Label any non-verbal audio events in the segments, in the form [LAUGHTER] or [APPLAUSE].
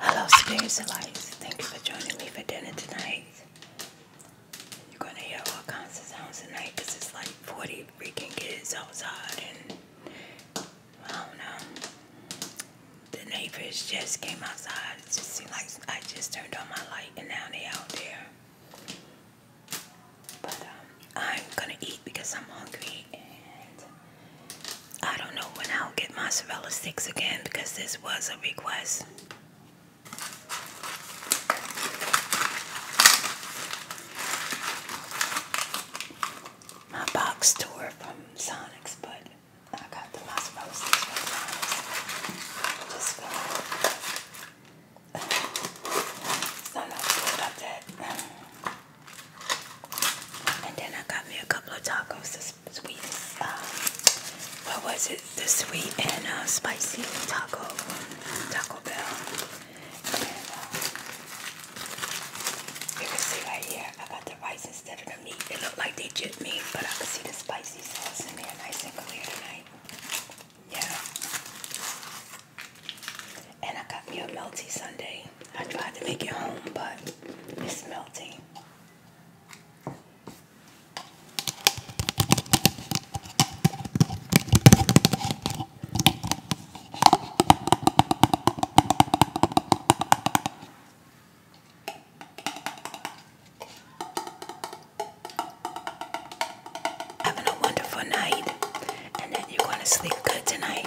Hello, spirits and lights. Thank you for joining me for dinner tonight. You're gonna hear all kinds of sounds tonight it's like 40 freaking kids outside, and I don't know. The neighbors just came outside. It just seemed like I just turned on my light, and now they out there. But um, I'm gonna eat because I'm hungry I don't know when I'll get mozzarella sticks again because this was a request. My box tour from Sonics, but I got the mozzarella sticks Just [SIGHS] not that. And then I got me a couple of tacos, the sweet, um, what was it? The sweet and uh, spicy taco, Taco Bell. Uh, you can see right here, I got the rice instead of the meat. It looked like they jipped meat, but I could see the spicy sauce in there nice and clear tonight. Yeah. And I got me a melty sundae. I tried to make it home, but it's melting. Having a wonderful night, and that you're to sleep good tonight.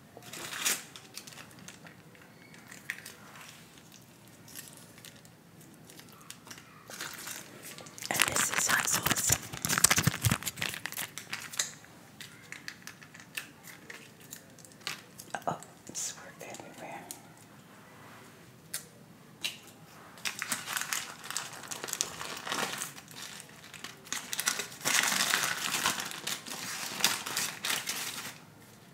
And this is hot sauce. Uh oh, it's worked everywhere.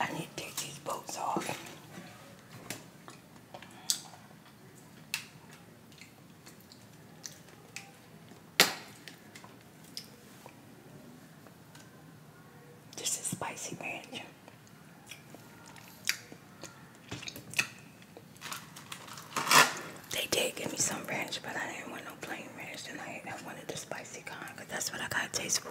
I need to take these boats off. This is spicy ranch. They did give me some ranch, but I didn't want no plain ranch tonight. I wanted the spicy kind, because that's what I got a taste for.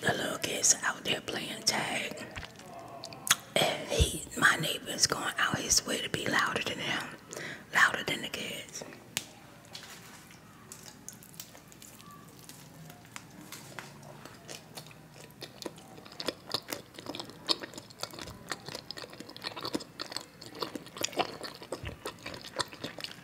The little kids out there playing tag. And he, my neighbor's going out his way to be louder than them, louder than the kids.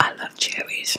I love cherries.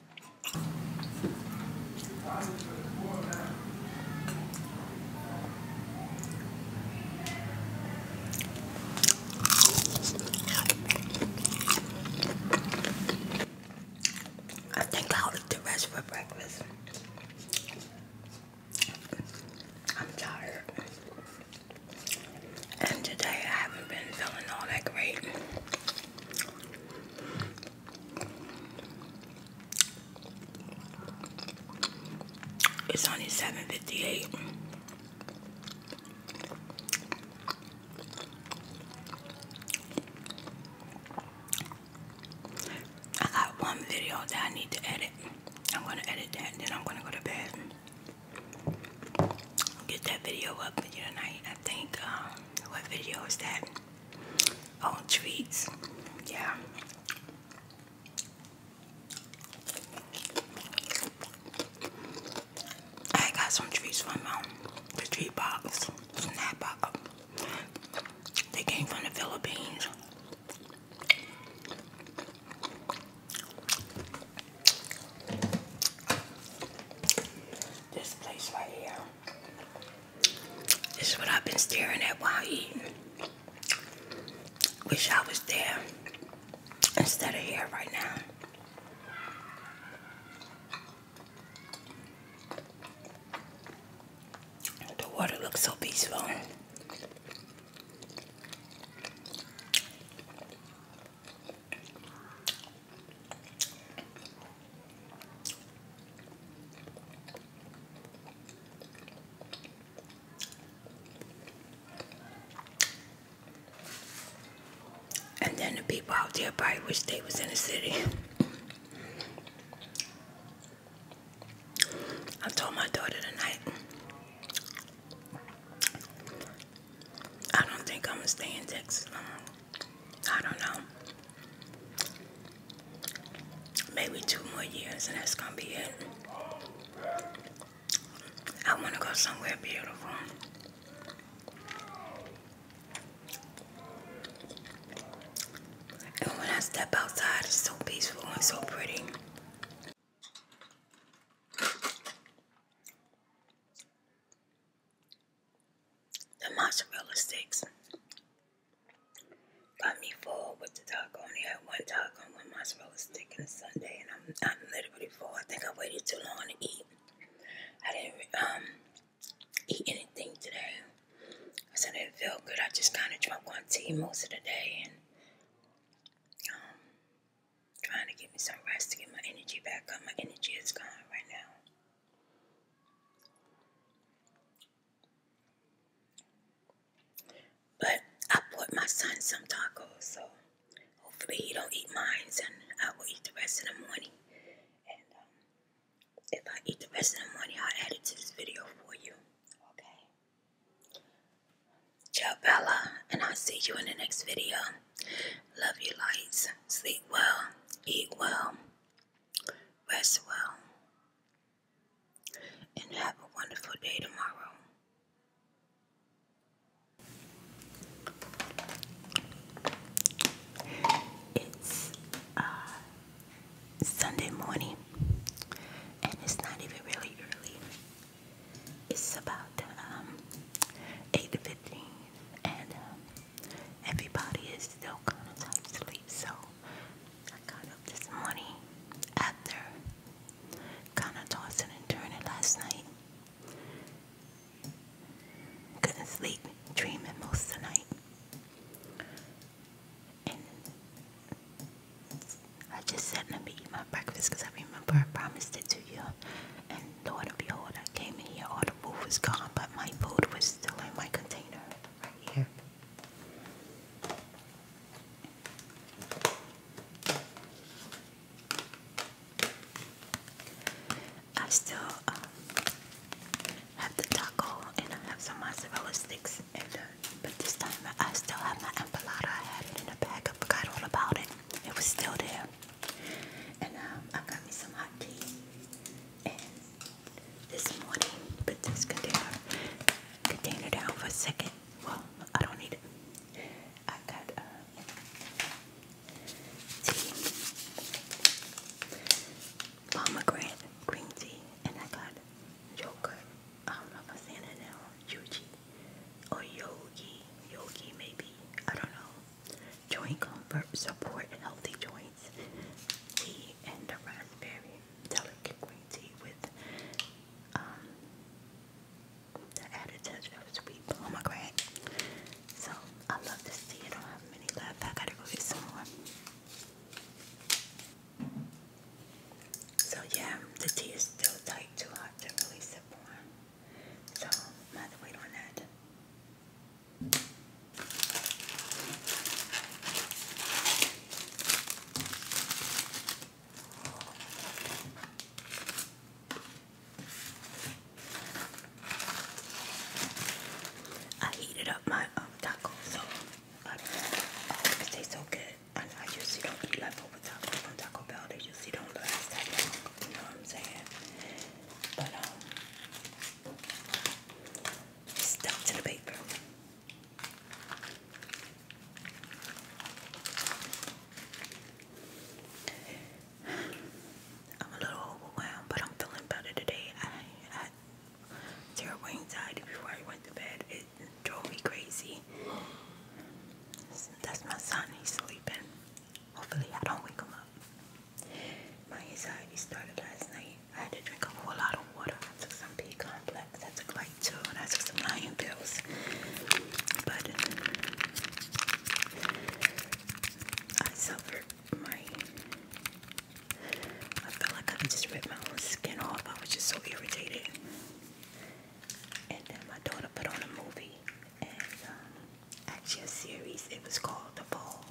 I think I'll eat the rest for breakfast. I'm tired. And today I haven't been feeling all that great. It's only seven fifty eight. I got one video that I need to edit. I'm gonna edit that, then I'm gonna go to bed. Get that video up tonight. I think. Um, what video is that? Oh, treats. Yeah. I got some treats from um, the treat box, snack box. They came from the Philippines. This place right here. This is what I've been staring at while eating. Wish I was there instead of here right now. The water looks so peaceful. And then the people out there probably wish they was in the city. I told my daughter tonight, I don't think I'm gonna stay in Texas long. I don't know. Maybe two more years and that's gonna be it. I wanna go somewhere beautiful. And when I step outside, it's so peaceful and so pretty. The mozzarella sticks got me full with the taco. Only had one taco and one mozzarella stick and a sundae, and I'm I'm literally full. I think I waited too long to eat. I didn't um, eat anything today. Cause I didn't feel good. I just kind of drank on tea most of the day and um, trying to get me some rest to get my energy back up. My energy is gone right now. But I bought my son some tacos, so hopefully he don't eat mine, and I will eat the rest of the money. And um, if I eat the rest of the money, I'll add it to this video for you. Okay. Ciao, Bella, and I'll see you in the next video. Love you, lights. Sleep well. Eat well. Rest well and have a wonderful day tomorrow. It's uh, Sunday morning, and it's not even really early. It's about um, and um, everybody is still kind of tight sleep, so I got up this morning after kind of tossing and turning last night. Couldn't sleep, dreaming most of the night. And I just said, let me eat my breakfast because I remember I promised it to you. And Lord and behold, I came in here, all the food was gone, but my food was still in my container right here. I still um, have the taco and I have some mozzarella sticks, but this time I still have my empanada. I had it in a bag, I forgot all about it. It was still there. And um, I got me some hot tea and this morning put this container container down for a second. Well, I don't need it. I got uh, tea, pomegranate green tea, and I got yogurt. I don't know if I'm saying it now. Yuji or yogi, yogi maybe. I don't know. Joint comfort support healthy joints. Tea and the raspberry delicate green tea with um, the added touch of sweet pomegranate. So I love this tea. I don't have many left. I gotta go get some more. So yeah, the tea is still tight, too hot to really sip on. So I'm have to wait on that. I heated up my um, taco, so so good. I, know don't eat leftover from Taco Bell. They usually don't last You know what I'm saying? But um, stuck to the paper. I'm a little overwhelmed, but I'm feeling better today. I had terrible anxiety before I went to bed. It drove me crazy. That's my son. He's sleeping. Hopefully, I don't wake him up. My anxiety started last night. I had to drink a whole lot of water. I took some B complex. I took like two, and I took some iron pills. But I suffered my. I felt like I just rip my own skin off. I was just so irritated. And then my daughter put on a movie and um, actually a series. It was called The Ball.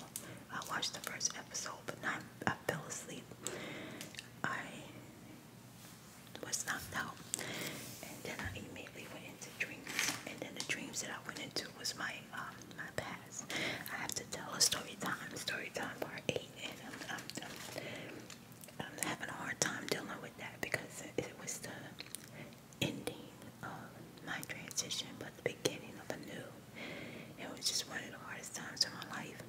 I watched the first episode, but not, I fell asleep. I was not out, and then I immediately went into dreams. And then the dreams that I went into was my um, my past. I have to tell a story time, story time part eight, and I'm, I'm, having a hard time dealing with that because it was the ending of my transition, but the beginning of a new it was just one of the hardest times of my life.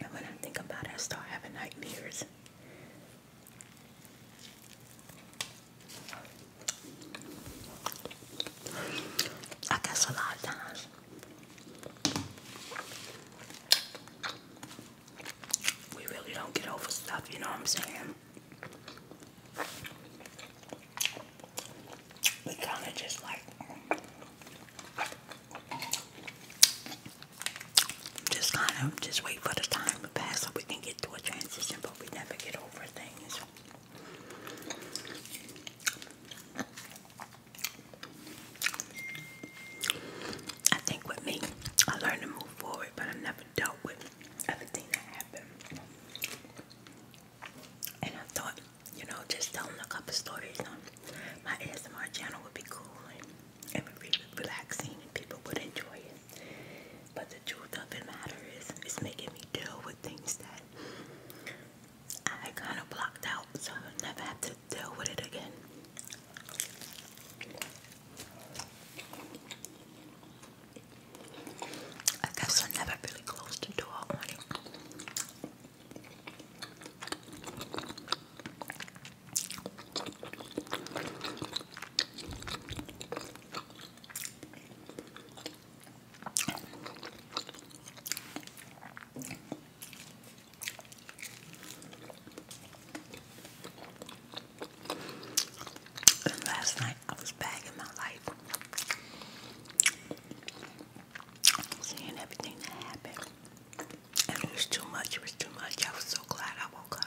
And when I think about it, I start having nightmares. I guess a lot of times we really don't get over stuff, you know what I'm saying? we kind of just like just kind of just wait for the time to pass so we can get to a transition, but we never get over things. I think with me, I learned to move forward, but I never dealt with everything that happened. And I thought, you know, just telling a couple stories on my ASMR channel would be cool and it would be relaxing and people would enjoy it. But the truth of the matter is, it's making me deal with things that I kind of blocked out, so I'll never have to deal with it again. I guess I never really closed the door on it. And last night I was back my life seeing everything that happened. And it was too much, it was too much. I was so glad I woke up.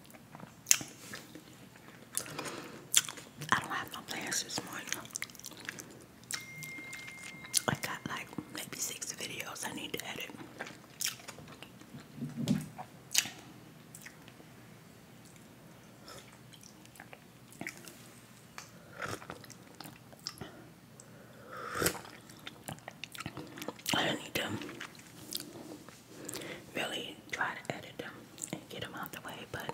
I don't have no plans this morning. I got like maybe six videos I need to edit. I need to really try to edit them and get them out the way, but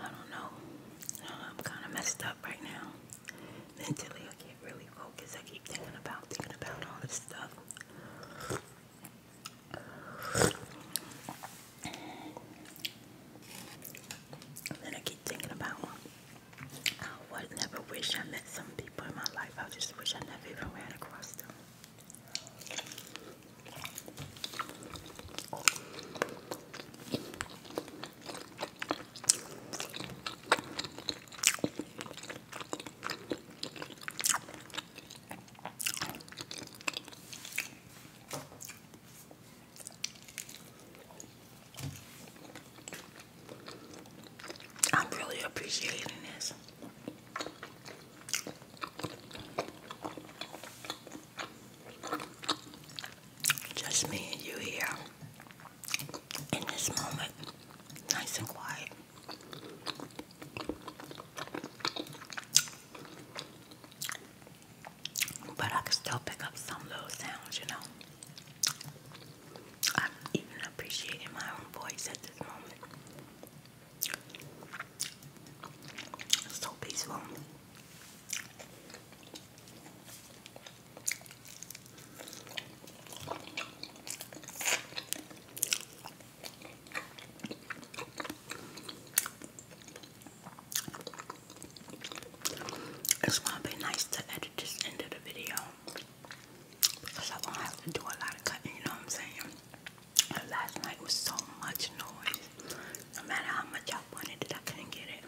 I don't know. I'm kind of messed up right now. Mentally, I can't really focus. I keep thinking about, thinking about all this stuff. then I keep thinking about I oh, would never wish I met some people in my life. I just wish I never even ran across them. I'm really appreciating this. Just me and you here in this moment, nice and quiet. But I can still pick up some little sounds, you know. I'm even appreciating my own voice at this moment. It's so peaceful. It's gonna be nice to edit this end of the video because I won't have to do a lot of cutting, you know what I'm saying? Last night was so much noise. No matter how much I wanted it, I couldn't get it.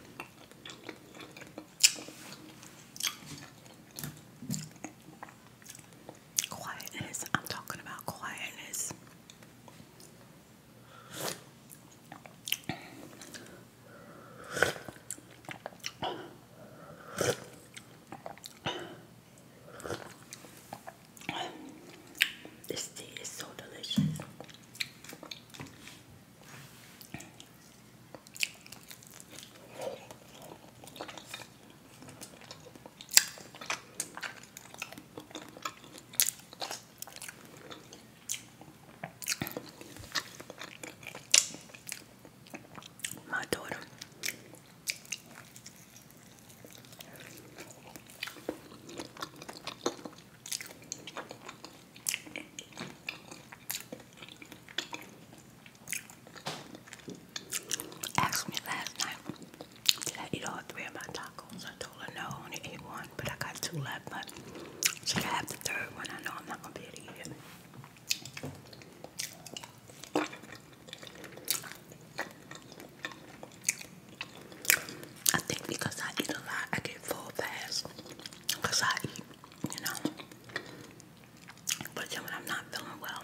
Quietness. I'm talking about quietness. This tea is so delicious. My daughter Asked me last night, did I eat all three of my tacos? I told her no, only ate one, but I got two left. But should I have the third one? I know I'm not gonna be able to eat it. I think because I eat a lot, I get full fast. Because I you know. But then when I'm not feeling well,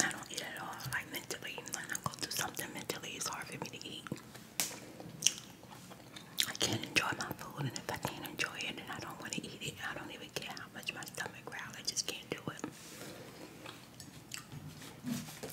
I don't eat at all. Like mentally, when I go through something mentally, it's hard for me to eat. I can't enjoy my food, and if I can't enjoy it, then I don't want to eat it. I don't even care how much my stomach growls. I just can't do it.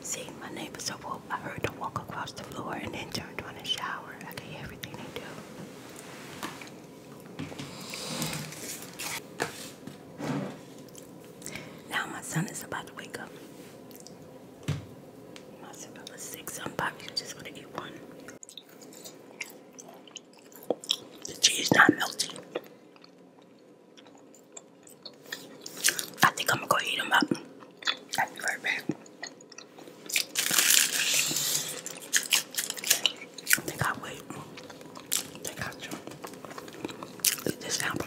See, my neighbors are woke. I heard them walk across the floor and then turn on a shower. I can everything they do. Now my son is about to wake up. My son was six. I'm probably just gonna eat one. The cheese not melting. I think I'm gonna go eat them up. I'll be right back. I think i wait. I think i this apple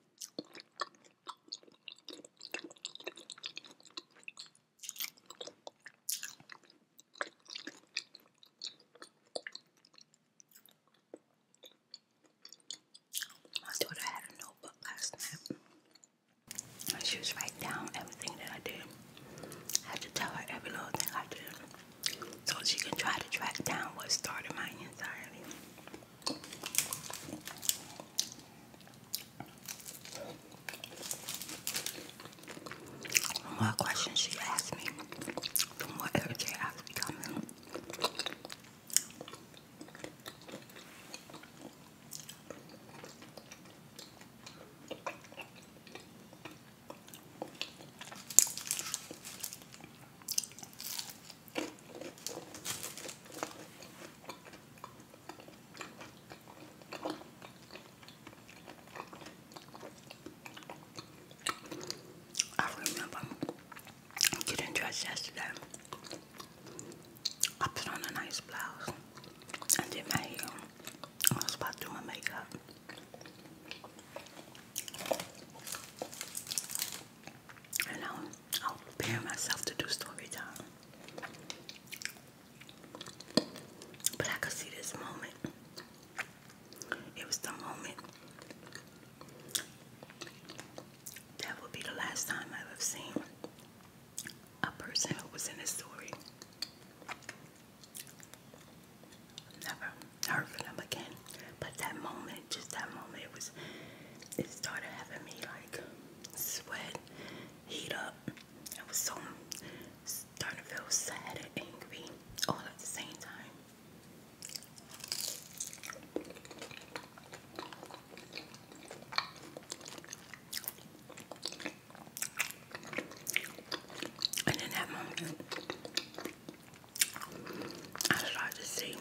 My daughter had a notebook last night. And she was writing down everything that I did. I had to tell her every little thing I did. So she can try to track down what started my anxiety. What question she asked me, the more irritated I was becoming. I remember getting dressed yesterday. I put on a nice blouse and did my I was about to makeup. You know, I'll prepare myself to do story time. But I could see this moment. It was the moment that would be the last time I've ever seen a person who was in this story. Never heard from them again. But that moment, just that moment, it was it started having me like sweat, heat up. I was so starting to feel sad and angry all at the same time. And in that moment, I started to see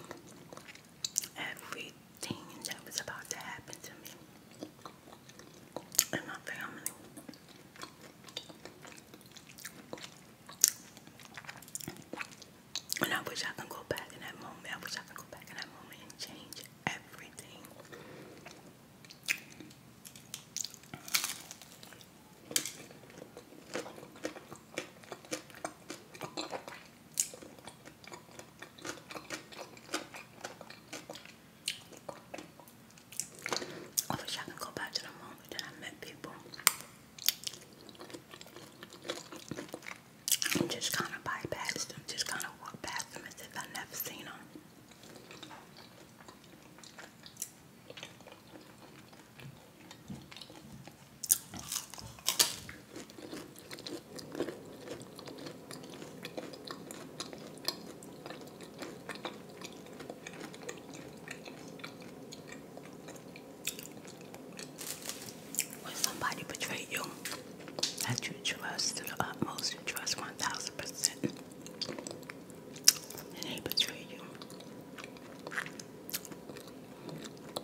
everything that was about to happen to me and my family. And I wish I could go back in that moment. I wish I could go back in that moment and change everything. I wish I could go back to the moment that I met people and just kind of bypass them, just kind of walk past them as if I never seen them. When somebody betrayed you, that you trust to the utmost, you trust 1000%, and they betray you.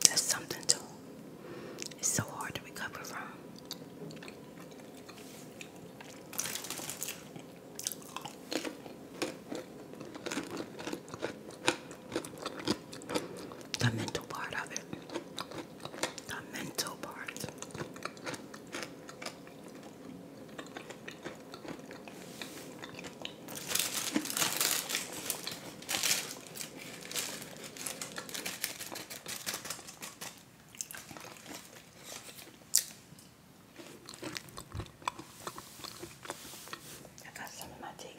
That's something to it's so hard to recover from. The mental part of it. The mental part. I got some in my teeth.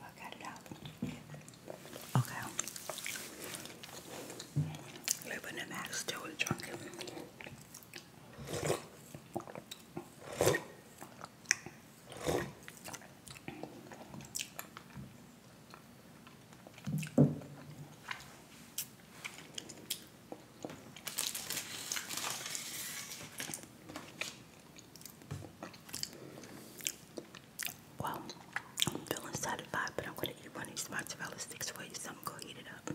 I got it out. Okay. Living in the max still well, I'm feeling satisfied, but I'm gonna eat one of these mozzarella sticks for you, so I'm gonna eat it up.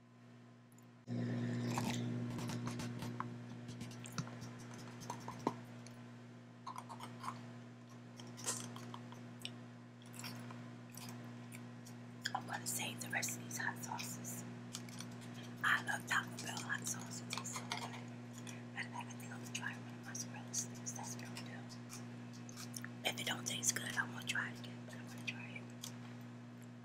I'm gonna save the rest of these hot sauces. I love Taco Bell hot sauces. It tastes I am gonna try one of my mozzarella do. If it don't taste good, I won't try it again, but I'm gonna try it.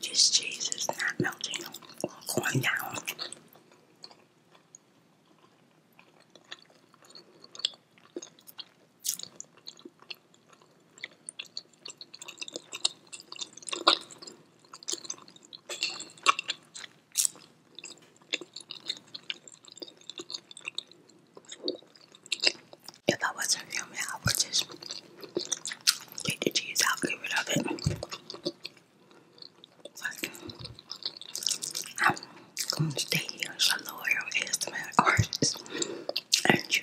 Just cheese is not melting going down. If I wasn't filming, I just take the cheese out, get rid of it. I'm gonna stay here a loyal ASMR artist and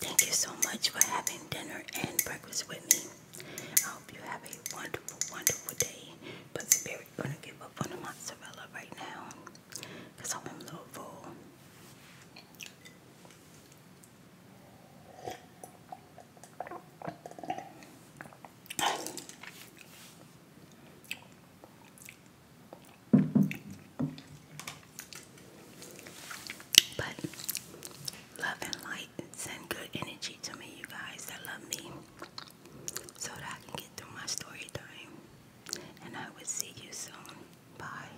Thank you so much for having dinner and breakfast with me. I hope you have a wonderful, wonderful day. But Spirit gonna give up on the mozzarella right now. i I'm a little full. But love and light send good energy to me, you guys that love me, so that I can get through my story time. And I will see you soon. Bye.